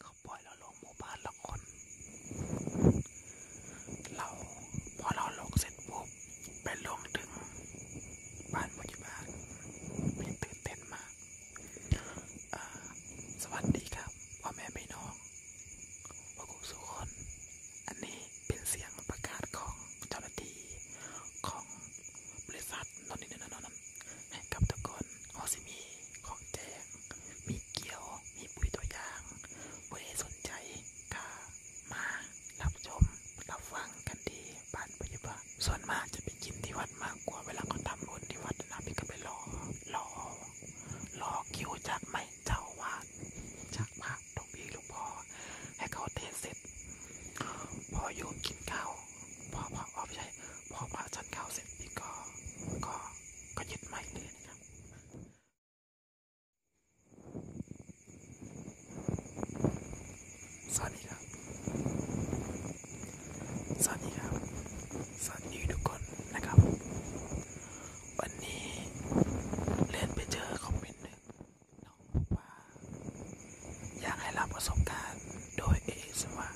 เขาปล่อยเราลงหมู่บ้านละคน เราพอเราลงเสร็จปุ๊บไปลงถึงบ้านผู้ใหญ่บ้านมีตื่นเต้นมากอ่าสวัสดีครับพ่อแม่พี่น้องพวกคุณสุคน อันนี้เป็นเสียงประกาศของเจ้าหน้าที่ของบริษัทนนนี่นั่นนั่นให้กับทุกคนเขาสิมีของแจกมีเกี่ยวมีปุ๋ยตัวอย่างผู้ใดสนใจก็มา รับชม รับฟังกันที่บ้านปัจจุบันส่วนมากจะไปกินที่วัดมากกว่าเวลาเขาทำบุญที่วัดนะพี่ก็ไปรอ รอ รอคิวจากไม่เจ้าวาดจากพระหลวงพี่หลวงพ่อให้เขาเทศเสร็จ พอโยมกินข้าวพอพอไม่ใช่พอพระจันทร์เข้าเสร็จนี่ก็ก็ก็ยึดใหม่เลยนะครับ สวัสดีครับ สวัสดีครับ สวัสดีทุกคนนะครับ วันนี้เล่นไปเจอคอมเมนต์หนึ่งน้องบอกว่าอยากให้รับประสบการณ์โดยเอสว่า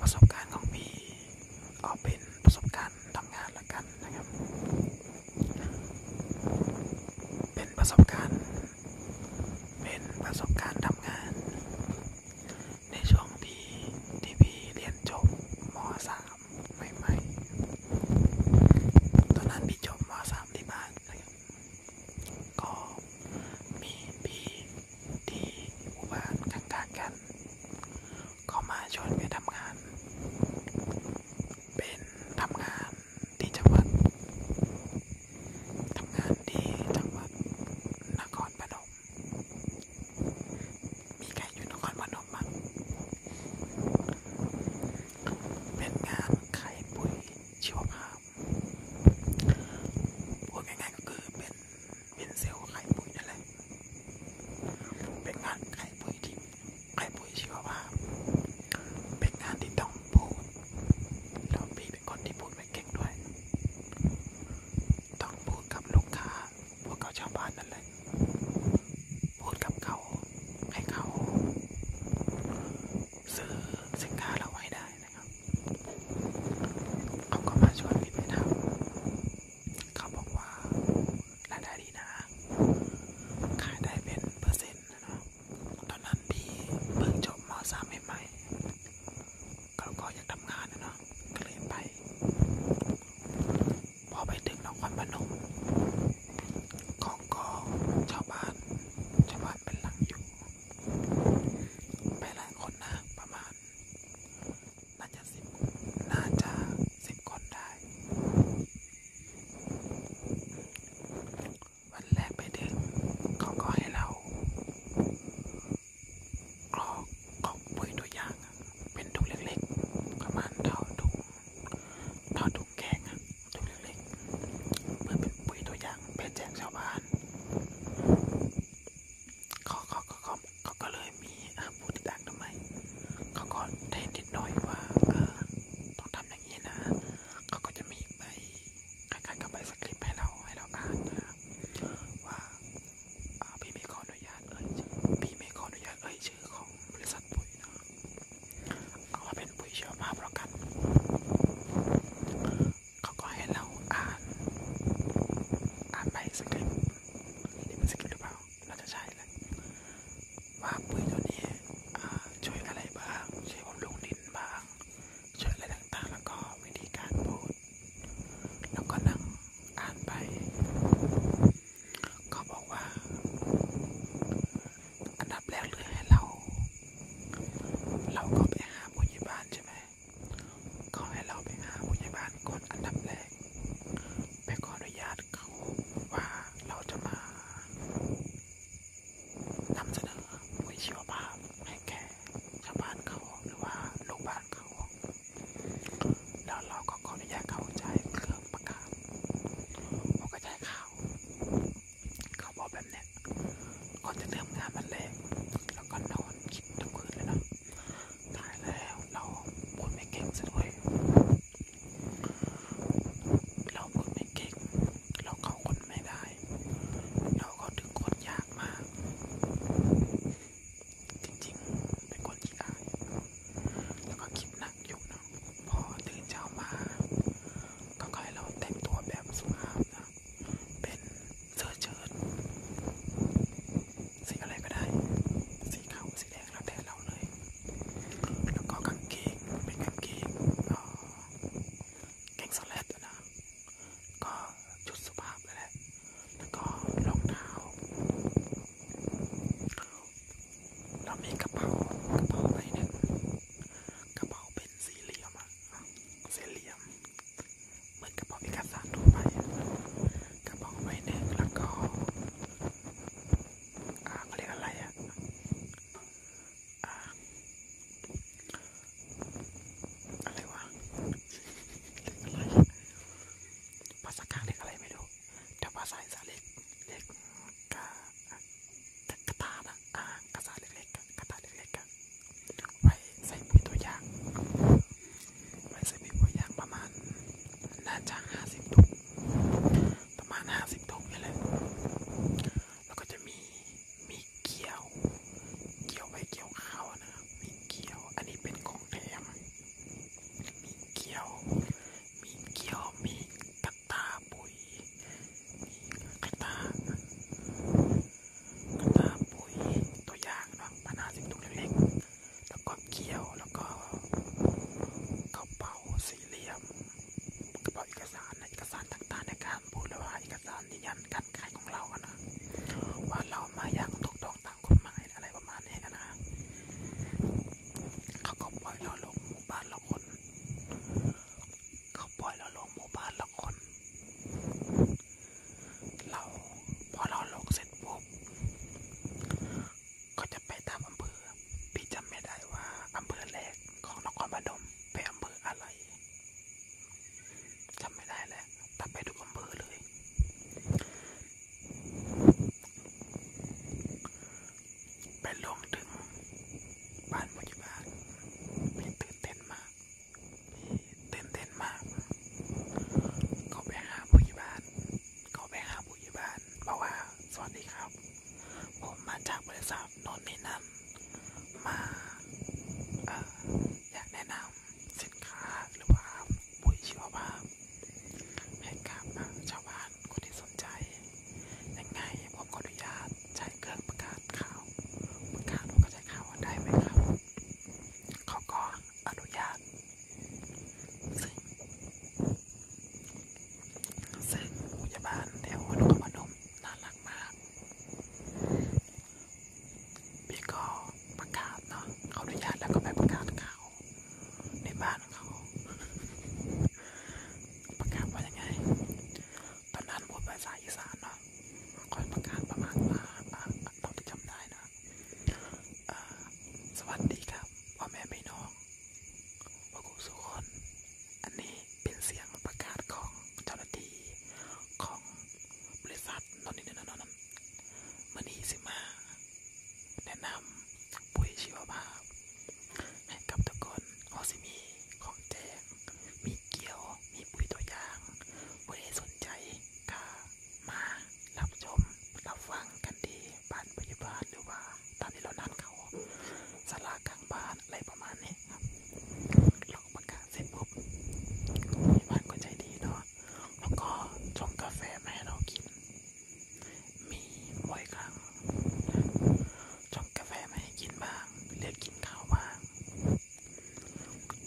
ประสบการณ์ของพี่เอาเป็นประสบการณ์ทำงานละกันนะครับ เป็นประสบการณ์ เป็นประสบการณ์ทำงานในช่วงที่ที่พี่เรียนจบม .3 ใหม่ๆ ตอนนั้นพี่จบม .3 ที่บ้านนะครับก็มีพี่ที่หมู่บ้านข้างๆกันก็มาชวนไปทำงาน เป็นทำงานที่จังหวัดทำงานที่จังหวัดนครปฐมมีใครอยู่นครปฐมบ้างเป็นงานไข่ปุ๋ยชีวภาพพูดง่ายๆก็คือเป็นเป็นเซลล์ไข่ปุ๋ยนั่นแหละเป็นงานไข่ปุ๋ยที่ไข่ปุ๋ยชีวภาพเป็นงานที่ต้องพูดแล้วพี่เป็นคนที่พูดไม่เก่งด้วย ต้องพูดกับลูกค้าพวกเขาชาวบ้านนั่นแหละพูดกับเขาให้เขาซื้อสินค้าเราไว้ได้นะครับ เขาก็มาชวนพี่ไปทำเขาบอกว่ารายได้ดีนะขายได้เป็นเปอร์เซ็นต์นะตอนนั้นพี่เพิ่งจบม .3 ใหม่ๆเขาก็อยากทำงานนะเนาะ ก็เลยไป พอไปถึงนครพนมของก็ชาวบ้านชาวบ้านาดเป็นหลังอยู่ ไปหลายคนนะประมาณน่าจะสิบน่าจะสิบคนได้วันแรกไปถึงเขาก็ให้เรากรอกกรอกปุ๋ยตัวอย่าง เป็นถุงเล็กๆประมาณเท่าถุงเท่าถุงถูกแกงอะถูกเล็กๆเพื่อเป็นปุ๋ยตัวอย่างไปแจกชาวบ้านเขาเขาเขาเขาก็เลยมีพูดดังทำไมเขาก็เทนนิดหน่อยว่าต้องทำอย่างนี้นะ เขาก็จะมีใบคล้ายๆกับใบสคริปต์ให้เราให้เราอ่านนะว่าพี่ไม่ขออนุญาตเอ่ยพี่ไม่ขออนุญาตเอ่ยชื่อของบริษัทปุ๋ยนะเอามาเป็นปุ๋ยชีวภาพแล้วกันเขาก็ให้เราอ่านอ่านไปสกิลนี่เป็นสกิลหรือเปล่า เราจะใช้เลย ว่าปุ๋ยตัวนี้ช่วยอะไรบ้าง ช่วยบำรุงดินบ้าง ช่วยอะไรต่างๆแล้วก็วิธีการพูด แล้วก็นั่งอ่านไปเขาบอกว่าอันดับแรกเลยให้เรา เราก็ไปหาผู้ใหญ่บ้านใช่ไหมเขาให้เราไปหาผู้ใหญ่บ้านก่อนอันดับแรกไปขออนุญาตเขาว่าเราจะมานำเสนอปุ๋ยชีวภาพให้แก่ชาวบ้านเขาหรือว่าลูกบ้านเขาแล้วเราก็ขออนุญาตเขาจ่ายเครื่องของปากกาผมก็ใช้ข่าว เขาบอกแบบเนี้ยก่อนจะเริ่มงานมันแรกแล้วก็นอนคิดทุกคืนเลยนะ ตายแล้ว เราพูดไม่เก่งซะด้วยเราพูดไม่เก่ง เราเข้าคนไม่ได้ เราก็ถึงคนยากมาก จริงๆ เป็นคนขี้อายแล้วก็คิดหนักอยู่นะพอตื่นเช้ามา ก็ค่อยเราแต่งตัวแบบสุภาพนะ เป็นเสื้อเชิ้ตสีอะไรก็ได้ สีขาวสีแดงแล้วแต่เราเลย แล้วก็กางเกง เป็นกางเกงเอ่อกางสแลตนะ ก็ชุดสุภาพแหละแล้วก็รองเท้าเรามีกระเป๋ากระเป๋าใบหนึ่งกระเป๋าเป็นสี่เหลี่ยมอะสี่เหลี่ยมเหมือนกระเป๋าเอกสารทั่วไปกระเป๋าใบหนึ่งแล้วก็อ่าเขาเรียกอะไรอะอ่าอะไรวะเรียกอะไร ภาษากลางเรียกอะไรไม่รู้แต่ว่าสายสาเล็กเล็กกะกระตานะอ่ากระสาเล็กๆกระตาเล็กๆไว้ใส่ปุ๋ยตัวยางไว้ใส่ปุ๋ยตัวยางประมาณน่าจะห้าสิบถุงประมาณห้าสิบถุงนี่แหละแล้วก็จะมีมีเกี๊ยว เกี๊ยวไปเกี๊ยวข้าวนะ มีเกี๊ยว อันนี้เป็นของแถมมีเกี๊ยวมีเขียวมีกระตาปุ๋ยมีกระตากระตาปุ๋ยตัวอย่างเนาะพันห้าสิบถุงเล็กๆแล้วก็เขียวแล้วก็กระเป๋าสี่เหลี่ยม กระเป๋าเอกสารนะเอกสารต่างๆในการพูดเลยว่าเอกสารยืนยันการขายของเราอะนะ ว่าเรามาอย่างถูกต้องตามกฎหมายอะไรประมาณนี้นะเขาก็ปล่อยเราลงหมู่บ้านละคนเขาปล่อยเราลงหมู่บ้านละคน เราพอเราลงเสร็จปุ๊บก็จะไปตามอำเภอพี่จำไม่ได้ว่าอำเภอแรกของนครปฐมเป็นอำเภออะไรจำไม่ได้แล้วแต่ไปทุกอำเภอเลยไปลงถึงบ้านผู้ใหญ่บ้านพี่ตื่นเต้นมากพี่ตื่นเต้นมาก เขาไปหาผู้ใหญ่บ้านเขาไปหาผู้ใหญ่บ้านบอกว่าสวัสดีครับ ผมมาจากบริษัทนนนี่นั่นมา อยากแนะนำสินค้า หรือว่าปุ๋ยชีวภาพให้กับชาวบ้านานคนที่สนใจ ยังไงผมขออนุญาตใช้เครื่องประกาศข่าวประกาศว่ากระจายข่าวได้ไหมครับ เขาก็อนุญาตซึ่งซึ่งพยาบาลแถววันกมนมน่ารักมาก พี่ก็ประกาศเนาะเขาอนุญาตแล้วก็ไปประกาศข่าวในบ้านของเขาประกาศว่ายังไงตอนนั้นพูดภาษาอีสานเนาะคอยประกาศประมาณว่าเท่าที่จำได้นะสวัสดีครับพ่อแม่พี่น้องพวกคุณสุคน อันนี้เป็นเสียงประกาศของเจ้าหน้าที่ของบริษัทนนนี่นั่นนั่นมันนี่สิมาแนะนำปุ๋ยชีวภาพให้กับทุกคนโฮซิมี ของแจกมีเกี๊ยว มีปุ๋ยตัวอย่างผู้ใดสนใจก็มา รับชม รับฟังกันที่บ้านพยาบาลหรือว่าตามที่เรานัดเขาสลากลางบ้านอะไรประมาณนี้ครับลองประกาศเสร็จปุ๊บพยาบาลก็ใจดีเนาะแล้วก็ชงกาแฟมาให้เรากินมีบ่อยครั้งชงกาแฟมาให้กินบ้าง เลือกกินข้าวบ้าง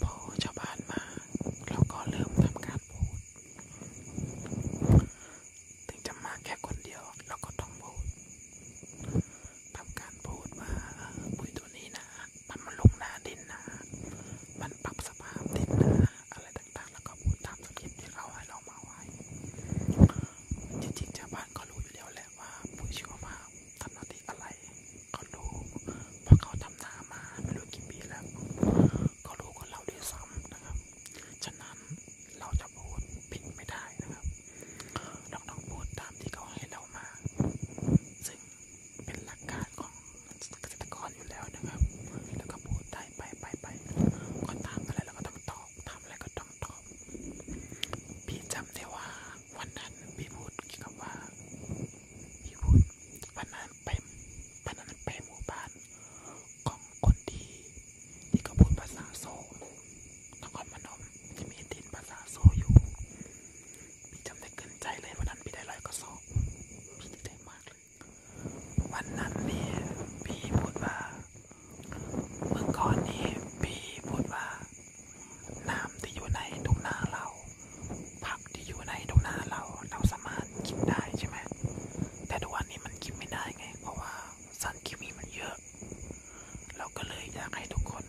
พอชาวบ้านมา เราก็เริ่มทำการพูด ถึงจะมาแค่คนเดียวเราก็ต้องพูด ทำการพูดว่าปุ๋ยตัวนี้นะมันมาลงหน้าดินนะ มันปรับสภาพดินนะอะไรต่างๆ แล้วก็พูดตามสคริปต์ที่เขาให้เรามาไว้ จริงๆชาวบ้านก็รู้อยู่แล้วแหละว่าปุ๋ยชีวภาพทำหน้าที่อะไร ก็รู้เพราะเขาทำนามาไม่รู้กี่ปีแล้ว ก็รู้กับเราด้วยซ้ำนะครับ ฉะนั้นเราจะพูดผิดไม่ได้นะครับเราต้องพูดตามที่เขาให้เรามา ซึ่งเป็นหลักการของเกษตรกรอยู่แล้วนะครับ แล้วก็พูดได้ไปไปไปก็ทำอะไรแล้วก็ต้องตอบทำอะไรก็ต้องตอบ พี่จำได้ว่าวันนั้นพี่พูดกี่คำว่าพี่พูดวันนั้นไปวันนั้นไปหมู่บ้านของคนดีที่เขาพูดภาษาโซ่นครพนมที่มีดินภาษาโซ่อยู่ พี่จำได้เกินใจเลยวันนั้นพี่ได้ลอยกระสอบพี่ดีใจมากเลยวันนั้นนี่พี่พูดว่าเมื่อก่อนนี้พี่พูดว่าน้ำที่อยู่ในทุ่งนาเราผักที่อยู่ในทุ่งนาเราเราสามารถกินได้ใช่ไหมแต่ทุกวันนี้มันกินไม่ได้ไง เพราะว่าสารเคมีมันเยอะ เราก็เลยอยากให้ทุกคน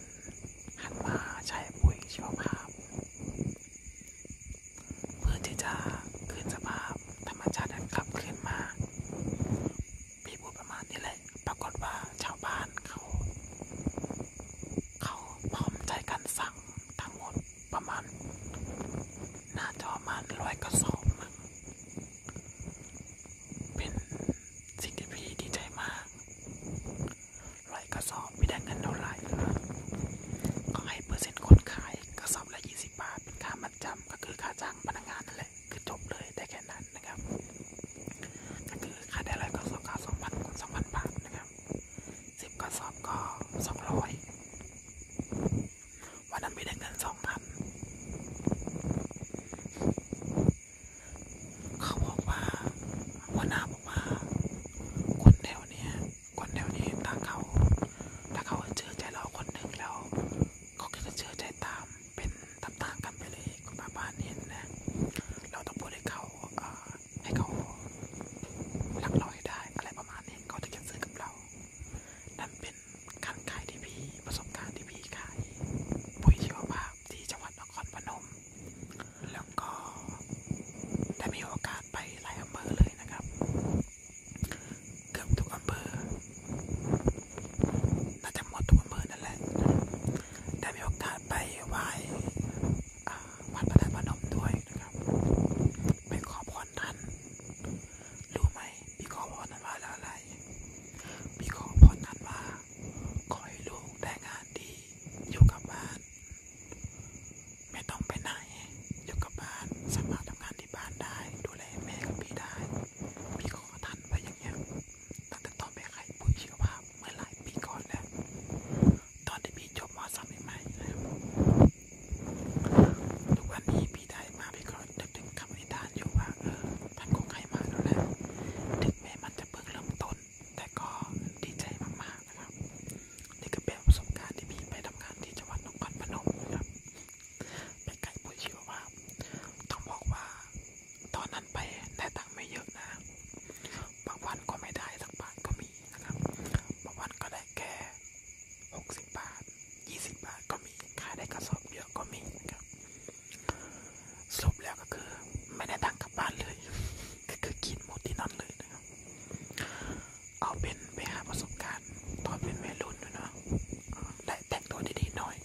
หันมาใช้ปุ๋ยชีวภาพเพื่อที่จะคืนสภาพ ธรรมชาตินั้นกลับคืนมาพี่พูดประมาณนี้แหละ ปรากฏว่าชาวบ้านเขา เขาพร้อมใจกันสั่งทั้งหมดประมาณน่าจะประมาณร้อยกระสอบมั้งเป็นสิ่งที่พี่ดีใจมากร้อยกระสอบไม่ได้เงินเท่าไหร่นะครับก็ให้เปอร์เซ็นต์คนขายกระสอบละยี่สิบบาท เป็นค่ามัดจำก็คือค่าจ้างพนักงานนั่นแหละคือจบเลยแต่แค่นั้นนะครับก็คือค่าได้ร้อยกระสอบก็สองพันคูณสองพันบาท นะครับสิบกระสอบก็สองร้อยวันนั้นไม่ได้เงินสองพันเขาบอกว่าหัวหน้าบอกว่า คนแถวเนี้ยคนแถวนี้ถ้าเขาถ้าเขาเชื่อใจเราคนหนึ่งแล้วเขาก็จะเชื่อใจตามเป็นตามๆกันไปเลยคุณป้าบ้านเห็นนะ เราต้องพูดให้เขาให้เขารักเราให้ได้อะไรประมาณนี้ เขาถึงจะซื้อกับเรา นั่นเป็นการขายที่พี่ ประสบการณ์ที่พี่ขายปุ๋ยชีวภาพที่จังหวัดนครพนมแล้วก็ได้มีโอกาสไปหลายอำเภอเลยนะครับเกือบทุกอำเภอ น่าจะหมดทุกอำเภอนั่นแหละได้มีโอกาสไปไหว้วัดพระธาตุพนมด้วยนะครับไปขอพรท่านรู้ไหมพี่ขอพรท่านว่าอะไรพี่ขอพรท่านว่าขอให้ลูกได้งานดีอยู่กับบ้านไม่ต้องไปไหนอยู่กับบ้านสามารถทำงานที่บ้านได้ ดูแลแม่กับพี่ได้พี่ก็ทันไปอย่างเงี้ยตั้งแต่ตอนไปขายปุ๋ยชีวภาพเมื่อหลายปีก่อนแล้วตอนที่พี่จบมสามใหม่ๆนะครับทุกวันนี้พี่ได้มาพี่ก็นึกถึงคำนิทานอยู่ว่าเออท่านคงใครมาแล้วแหละถึงแม้มันจะเพิ่งเริ่มต้นแต่ก็ดีใจมากๆนะครับ นี่ก็เป็นประสบการณ์ที่พี่ไปทำงานที่จังหวัดนครพนมนะครับไปไกลปุยชีวว่าต้องบอกว่า ตอนนั้นไปได้ตังค์ไม่เยอะนะบางวันก็ไม่ได้สักบาทก็มีนะครับ บางวันก็ได้แค่60บาท 20บาทก็มีขายได้กระสอบเยอะก็มีนะครับสรุปแล้วก็คือไม่ได้ตังค์กลับบ้านเลยก็คือกินหมดที่นั่นเลยนะเอาเป็นไปหาประสบการณ์ตอนเป็นวัยรุ่นดูเนาะและแต่งตัวดีๆหน่อย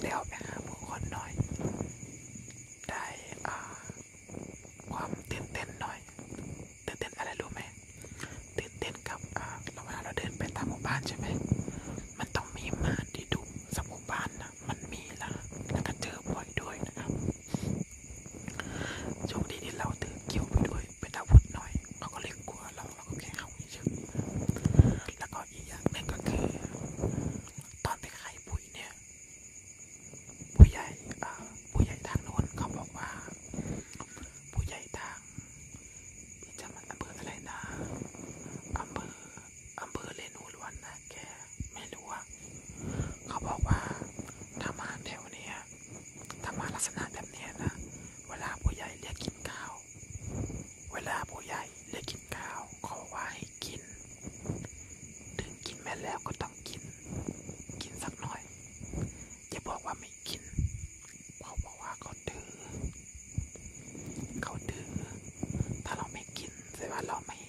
ได้ออกไปหาผู้คนหน่อย ได้ความตื่นเต้นหน่อยตื่นเต้นอะไรรู้ไหมตื่นเต้นกับเราเวลาเราเดินไปตามหมู่บ้านใช่ไหม มันต้องมีม่านที่ดุสักหมู่บ้านนะมันมีละแล้วก็เจอบ่อยด้วยนะครับโชคดีที่เราถือเกี่ยวไปด้วยเป็นอาวุธหน่อยเราก็เลยกลัวเราเราก็แค่เข้าเฉยแล้วก็อีกอย่างหนึ่งก็คือ ตอนไปขายปุ๋ยเนี่ยผู้ใหญ่ผู้ใหญ่ทางโน้นเขาบอกว่าผู้ใหญ่ทางจะมันอำเภออะไรนะอำเภออำเภอเลนูลวนนะแกไม่รู้อเขาบอกว่าถ้ามาแถวเนี้ยถ้ามาลักษณะแบบเนี้ยนะ เวลาผู้ใหญ่เรียกินข้าวเวลาผู้ใหญ่เรียกินข้าวขอว่าให้กินถึงกินแม่แล้วก็ต้องกิน กินสักหน่อยอย่าบอกว่าไม่กินเขาบอกว่าเขาดื้อเขาดื้อถ้าเราไม่กินแสดว่าเราไม่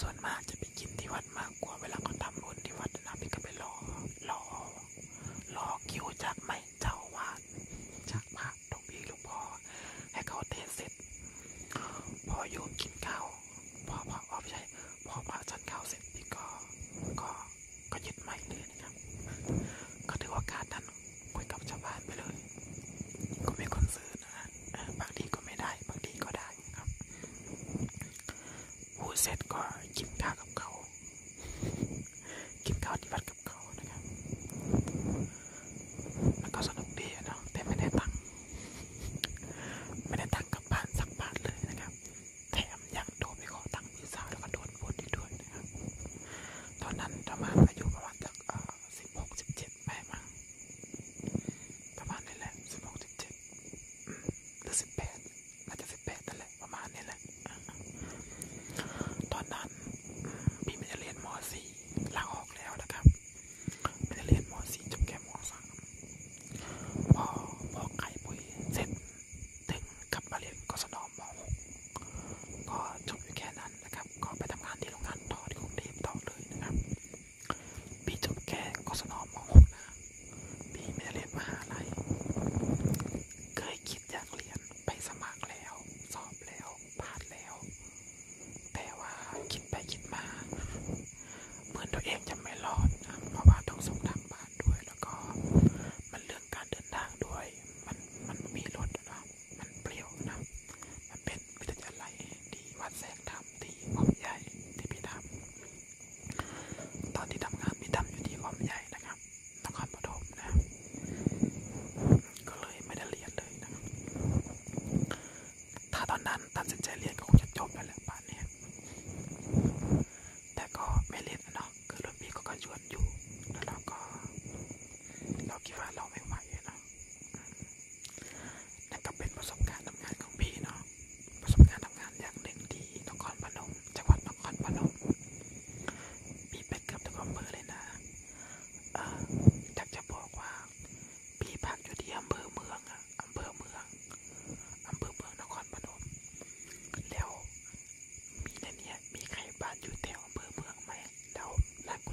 ส่วนมากจะไปกินที่วัดมากกว่าเวลาเขาทำบุญที่วัดนะพี่ก็ไปรอรอ รอคิวจากไม่เจ้าวาดจากพระหลวงพี่หลวงพ่อให้เขาเทศเสร็จ พอโยมกินข้าวพอพระออไม่ใช่พอพระฉันข้าวเสร็จพี่ก็ ก็ก็ยึดไม่เลยนะครับก็ถือว่าการนั้นคุยกับชาวบ้านไปเลย ก็มีคนซื้อนะบางทีก็ไม่ได้บางทีก็ได้ายครับพูดเสร็จก็กินข้าวกับเขา กินข้าวที่วัดกับเขานะครับมันก็สนุกดีเนาะแต่ไม่ได้ตังค์ไม่ได้ตังค์กับบ้านสักบาทเลยนะครับ แถมยังโดนไปขอตังค์พี่สาวแล้วก็โดนบ่นอีกด้วยนะครับ ตอนนั้นประมาณอายุประมาณสักสิบหกสิบเจ็ดไปมาประมาณนี้แหละสิบหกสิบเจ็ดหรือสิบแปดอาจจะสิบแปดนั่นแหละประมาณนี้แหละตอนนั้นพี่มันจะเรียนมสี่ลาออกแล้วนะครับมันจะเรียนมสี่จบแค่มสามพอพอไก่ปุ๋ยเสร็จ ถึงกลับมาเรียนกศนมหกก็จบอยู่แค่นั้นนะครับ ก็ไปทำงานที่โรงงานต่อที่กรุงเทพต่อเลยนะครับพี่จบแค่กศนมหกนะพี่ไม่ได้เรียนมหาลัยเคยคิดอยากเรียนไปสมัครแล้ว สอบแล้วผ่านแล้ว แต่ว่าคิดไปคิดมาเหมือนตัวเองจะไม่รอดนะเพราะว่าต้องส่งทางบ้านด้วยแล้วก็มันเรื่องการเดินทางด้วยมันมันมีรถนะมันเปลี่ยวนะมันเป็นวิทยาลัยที่วัดแสงธรรมที่อ้อมใหญ่ที่พี่ทำตอนที่ทำงานพี่ทำอยู่ที่อ้อมใหญ่นะครับนครปฐมนะก็เลยไม่ได้เรียนเลยนะครับ ถ้าตอนนั้นตัดสินใจเรียนก็คงจะจบไปแล้วป่านนี้แต่ก็ไม่เรียนนะเนาะคือรุ่นพี่ก็กระชวนอยู่แล้วเราก็เราคิดว่าเราไม่ไหวนะนั่นก็เป็นประสบการณ์ทำงานของพี่เนาะ ประสบการณ์ทำงานอย่างหนึ่งที่นครพนม จังหวัดนครพนมพี่ไปเกือบทุกอำเภอเลยนะเอออยากจะบอกว่า พี่พักอยู่ที่อำเภอเมืองอะอำเภอเมืองอำเภอเมืองนครพนม แล้วมีในนี้มีใครบ้านอยู่แถวอำเภอเมืองไหมแล้วหลายค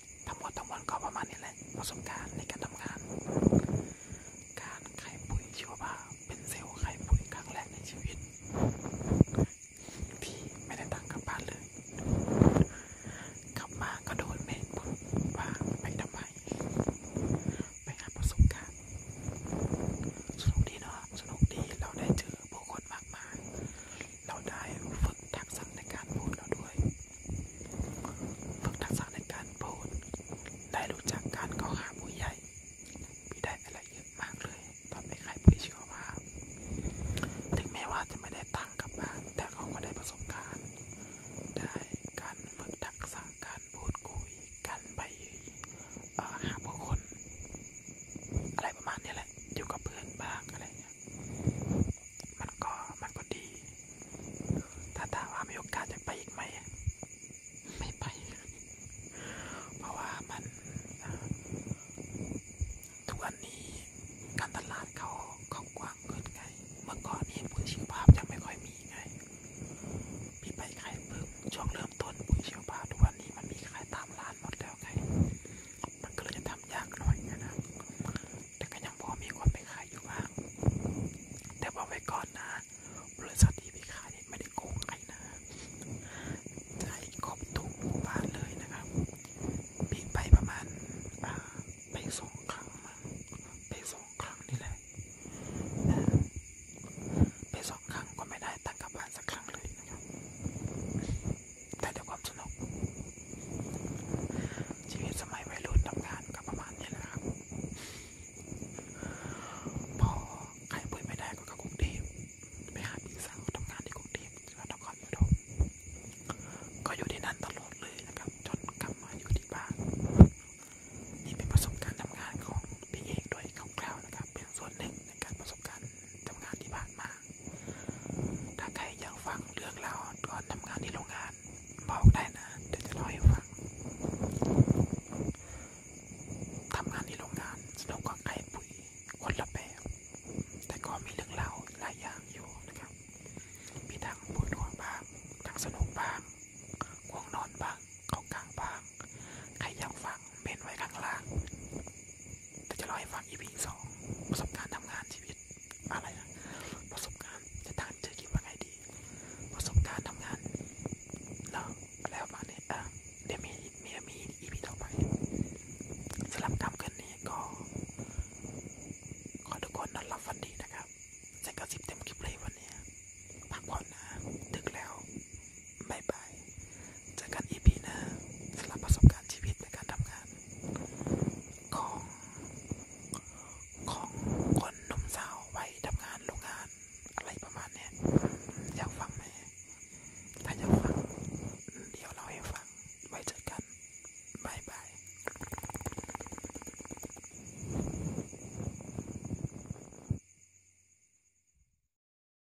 ทั้งหมดทั้งมวลก็ประมาณนี้แหละประสบการณ์ในการทำงานการขายปุ๋ยชีวภาพเป็นเซลล์ขายปุ๋ยครั้งแรกในชีวิตที่ไม่ได้ตังค์กลับบ้านเลย กลับมาก็โดนเมฆบ่นว่าไปทำไมไปหาประสบการณ์สนุกดีเนาะสนุกดีเราได้เจอผู้คนมากมายเราได้ฝึกทักษะในการพูดเราด้วย ฝึกทักษะในการพูดได้รู้จักการเข้าหาผู้ใหญ่พี่ได้อะไรเยอะมากเลย ตอนไปขายพี่เชื่อว่าถึงแม้ว่าจะไม่ได้ตังค์กลับบ้านแต่เขาก็ได้ประสบการณ์ ได้การฝึกทักษะการพูดคุยการไปหาผู้คน อะไรประมาณนี้แหละ อยู่กับเพื่อนบ้างอะไรเ่มันก็มันก็ดี ถ้าถามว่ามีโอกาสจะไปอีกไหม ไม่ไป เพราะว่ามัน ทุกวันนี้ การตลาดเขาเขากว้าเกินไง เมื่อก่อนนี่ปุ๋ยชีวภายังไม่ค่อยมีไง มีไปขายเพิ่ช่วงเริ่มต้นปุ๋ยชีวภาทุกวันนี้มันมีขายตามร้าานหมดแล้วไงมันก็เลยจะทำยากหน่อยนะ แต่ก็ยังพอมีคนไปขายอยู่บ้างแต่บอกไว้ก่อนนะ บริษัทที่ไปขายไม่ได้โกงใครนะใช้ครอบทุกหมู่บ้านเลยนะครับปีไปประมาณไปสองครั้งมั้งไปสองครั้งนี่แหละ ไปสองครั้งก็ไม่ได้ตังค์กลับบ้านสักครั้งเลยนะครับแต่เดี๋ยวความสนุกชีวิตสมัยวัยรุ่นทำงานก็ประมาณนี้แหละครับพอใครปุยไม่ได้ก็กลับกรุงเทพไปหาพี่สาวทำงานที่กรุงเทพจังหวัดนครปฐมก็อยู่ที่นั่นตลอดเลยนะครับจนกลับมาอยู่ที่บ้านนี่เป็นประสบการณ์ทำงานของพี่เอกด้วยคร่าวๆนะครับ เป็นส่วนหนึ่งในการประสบการณ์ทำงานที่ผ่านมาถ้าใครอยากฟังเรื่องเราก่อนทำงานที่โรงงานบอกได้นะเดี๋ยวจะเล่าให้ฟังทำงานที่โรงงานสนุกกว่าไก่ปุ๋ยคนละแบบแต่ก็มีเรื่องเล่าหลายอย่างอยู่นะครับ มีทั้งปวดหัวบ้างทั้งสนุกบ้างง่วงนอนบ้างเขากลางบ้างใครอยากฟังเมนไว้ข้างล่างแต่จะเล่าให้ฟัง EP สองประสบการณ์ทำงานชีวิตอะไรนะประสบการณ์จะทานจะคิดว่าไงดี ประสบการณ์ทำงานแล้วแล้วมาเนี่ยเดี๋ยวมีมีมี EP ต่อไปสำหรับคำคืนนี้ก็ขอทุกคนนอนหลับฝันดีนะครับจะกระสิบเต็มคลิปเลยวันนี้พักผ่อนนะดึกแล้วบายบายเจอกันอีพีหน้าสำหรับประสบการณ์ชีวิตในการทำงาน ของของคนหนุ่มสาววัยทำงานโรงงานอะไรประมาณเนี้ยอยากฟังไหมถ้าอยากฟังเดี๋ยวเราให้ฟังไว้เจอกันบายบาย